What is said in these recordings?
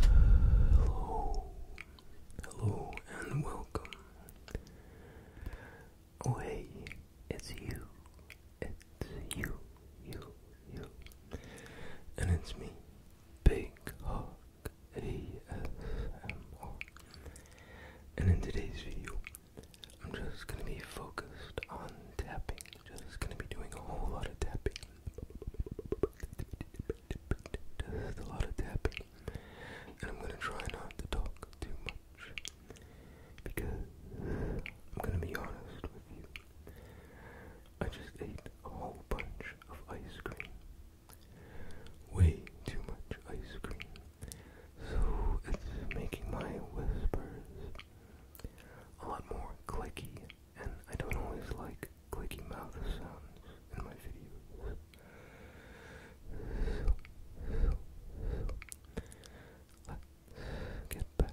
Hello, hello, and welcome. hey, it's you, it's you, you, you, and it's me, Big Hawk ASMR. And in today's video, I'm just gonna be focused on tapping. Just gonna be doing a whole lot of tapping. a lot of tapping. And I'm gonna try not to talk too much. Because I'm gonna be honest with you. I just ate a whole bunch of ice cream. Way too much ice cream so it's making my whispers a lot more clicky, and I don't always like clicky mouth sounds in my videos. let's get back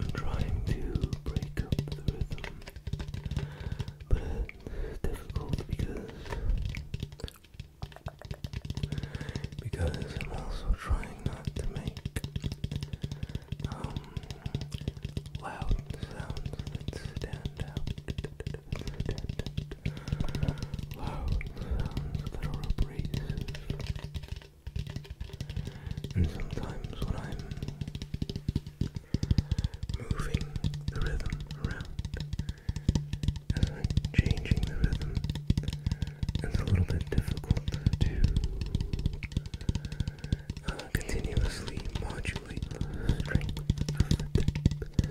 I'm trying to break up the rhythm, but it's difficult because because I'm also trying not to make um, loud sounds stand out. Loud sounds that are abrasive. And sometimes when I'm moving the rhythm around, as I'm changing the rhythm, it's a little bit difficult to uh, continuously modulate the strength of the tip.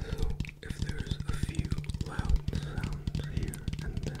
So if there's a few loud sounds here and there,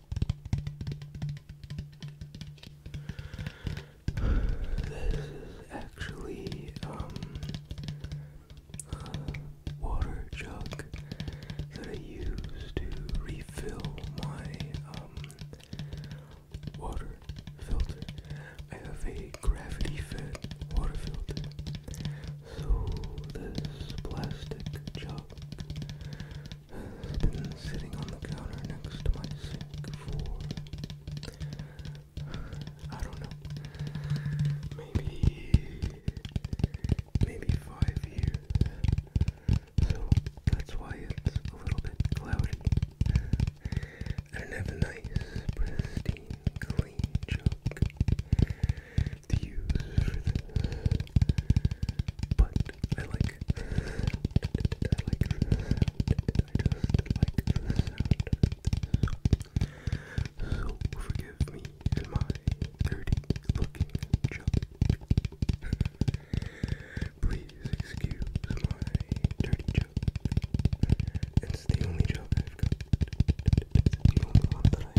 This is actually um, a water jug that I use to refill my um, water filter. I have a gravity fed water filter. So this plastic jug been sitting on the counter next to my sink for I don't know, maybe maybe five years. So that's why it's a little bit cloudy. I don't have a nice, pristine, clean joke creative to But I like I like I like the So, forgive me and my dirty looking Please excuse my dirty joke. It's the only joke I've got. the only one that I have.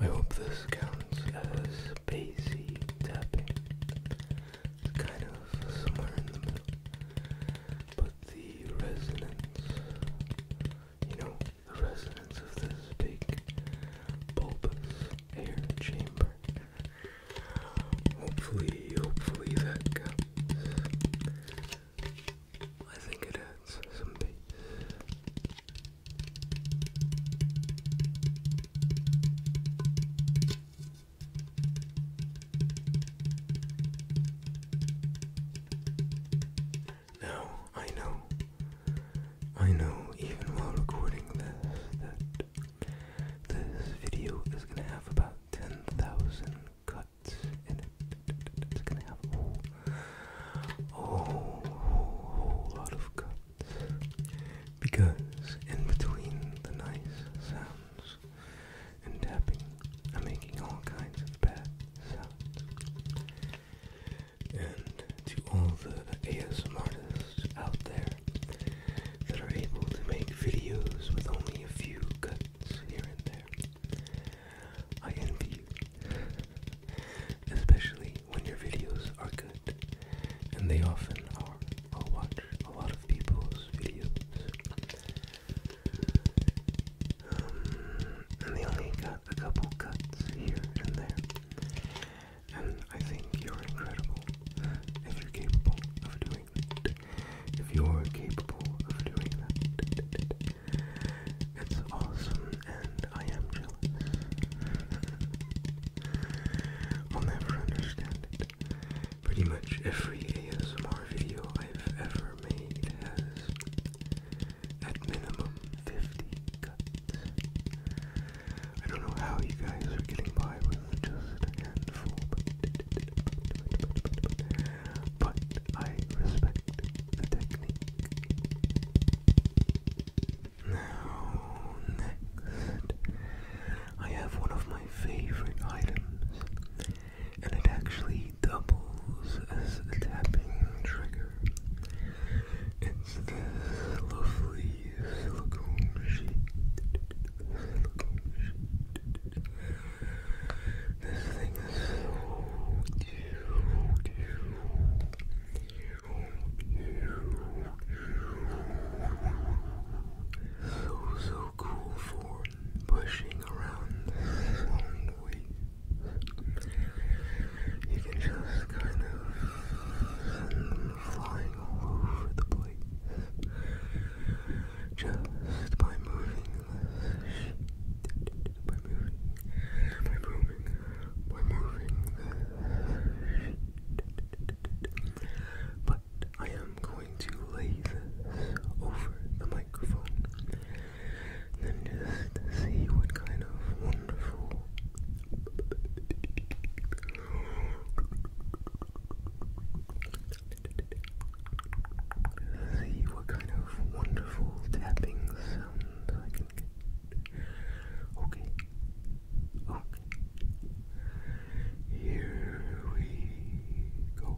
I hope this counts as spacey tapping. It's kind of somewhere in the middle the resonance, you know, the resonance of this big bulbous air chamber. Hopefully, hopefully that comes. I think it adds some now, I know, I know even while recording this, that this video is gonna have about 10,000 cuts in it. It's gonna have a whole, whole, whole, whole lot of cuts. Because in between the nice sounds, and tapping and making all kinds of bad sounds. And to all the ASM artists out there that are able to make videos with only a few cuts here and there, I envy you. Especially when your videos are good, and they often are. i watch a lot of people's videos. Um, and they only got a couple cuts here and there. And I think you're incredible if you're capable of doing that. If you're capable of doing that, it's awesome and I am jealous. I'll never understand it. Pretty much every ASMR video I've ever has at minimum 50 cuts. I don't know how you guys are getting by with just a handful, but I respect the technique. Now, next, I have one of my favorite items and it actually doubles as a tapping trigger. It's this lovely silicone sheet. This thing is So so cool for pushing around sound waves. You can just kind of send them flying all over the place just by moving this by moving, by moving, by moving But I am going to lay this over the mic microphone and just see what kind of wonderful see what kind of wonderful tapping sounds I can get. Okay. Okay. Here we go.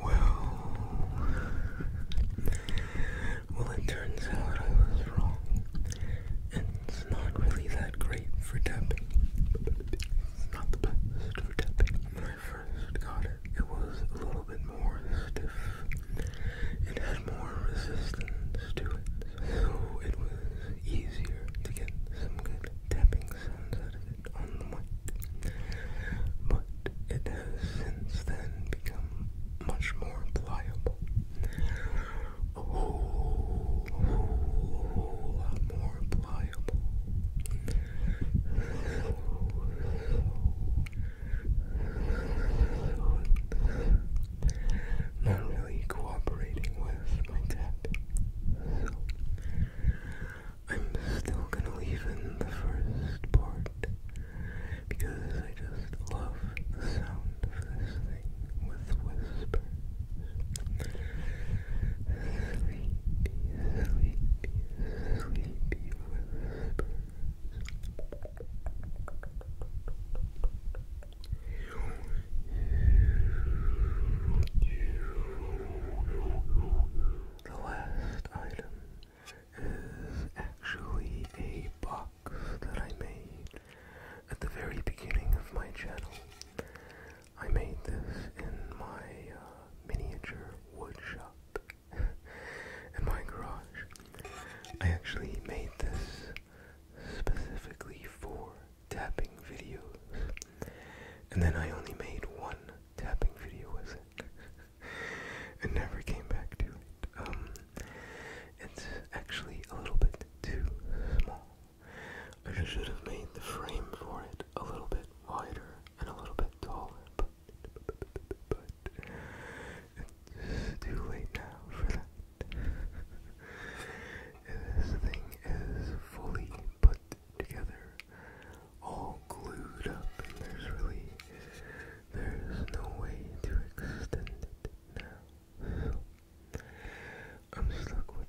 Well, well, it turns out I was wrong it's not really that great for tapping. It's not the best for tapping. When I first got it, it was a little bit more stiff. It had more resistance to it, so it was easier to get some good tapping sounds out of it on the mic. But it has since then become much more pliable whole, whole lot more pliable. Not really cooperating with my tapping, so I'm still gonna leave in the first part because I just love the sound of this thing. Soothing with whispers. Sleepy, sleepy, sleepy whispers. The last item is actually a box that I made at the very beginning of my channel. I made this in my uh, miniature wood shop in my garage. I actually made this specifically for tapping videos, and then I only made one tapping video with it, and never came back to it. Um, it's actually a little bit too small I should have made the frame for it a little bit wider and a little bit taller, but, it's too late now for that. this thing is fully put together, all glued up, there's really, there's no way to extend it now. I'm stuck with it.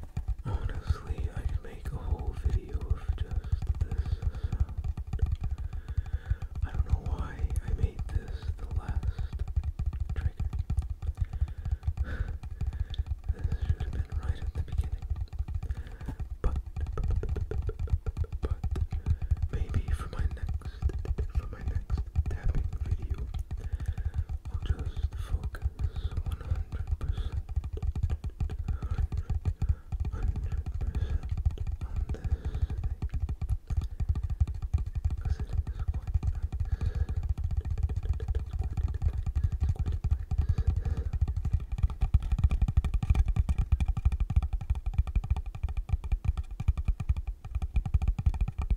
Honestly, I could make a whole video of just this I don't know why I made this the last trigger. this should have been right at the beginning. But, but, but, but maybe for my next, for my next tapping video will just focus 100%, 100%, on this because it is quite nice. It's quite nice. It's quite nice. Thank you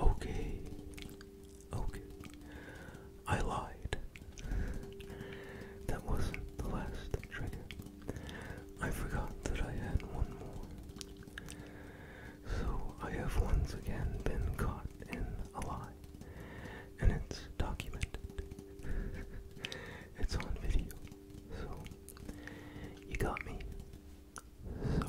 Okay. Okay. I lied. That wasn't the last trigger. I forgot that I had one more. So I have once again been caught in a lie. And it's documented. it's on video. So, you got me. Sorry.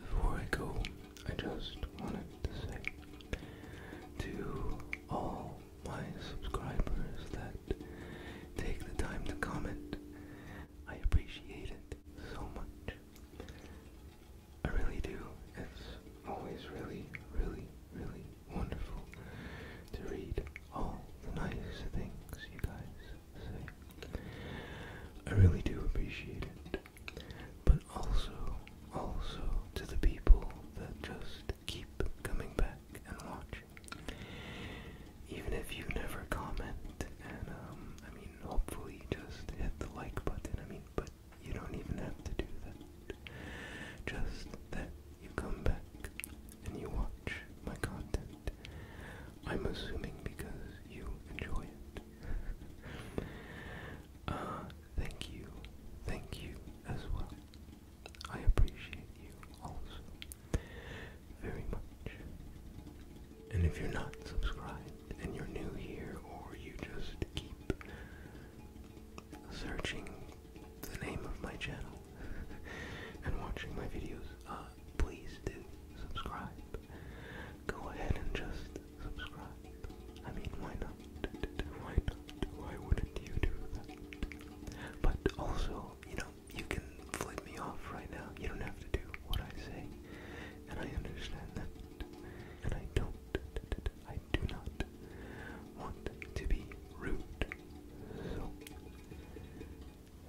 Before I go, I just wanted to say to all my subscribers that take the time to comment. I appreciate it so much. I really do. It's always really, really, really wonderful to read all the nice things you guys say. I really do appreciate it. But also, also to the people that just keep coming back and watching. Even if you never comment and um, I mean hopefully just hit the like button. I mean but you don't even have to do that. Just that you come back and you watch my content. I'm assuming because you enjoy it. uh, thank you. Thank you as well. I appreciate you also very much. And if you're not subscribed and you're new here or you just keep searching the name of my channel and watching my videos, uh, please do subscribe. Go ahead and just subscribe. I mean, why not? Why not? Why wouldn't you do that? But also, you know, you can flip me off right now. You don't have to do what I say. And I understand that. And I don't I do not want to be rude.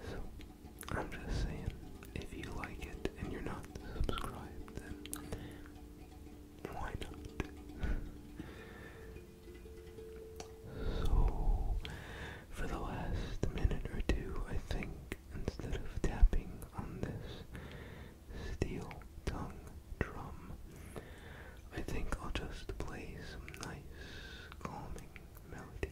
So, I'm just saying, if you like it and you're not subscribed, then why not? so, for the last minute or two, I think instead of tapping on this steel tongue drum. I think I'll just play some nice calming melodies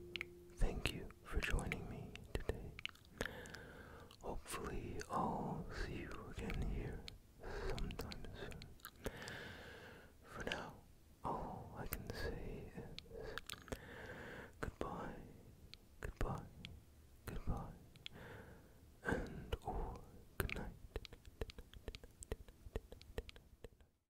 Thank you for joining me today. Hopefully, I'll see you again here sometime soon. For now, all I can say is goodbye, goodbye, goodbye, and or good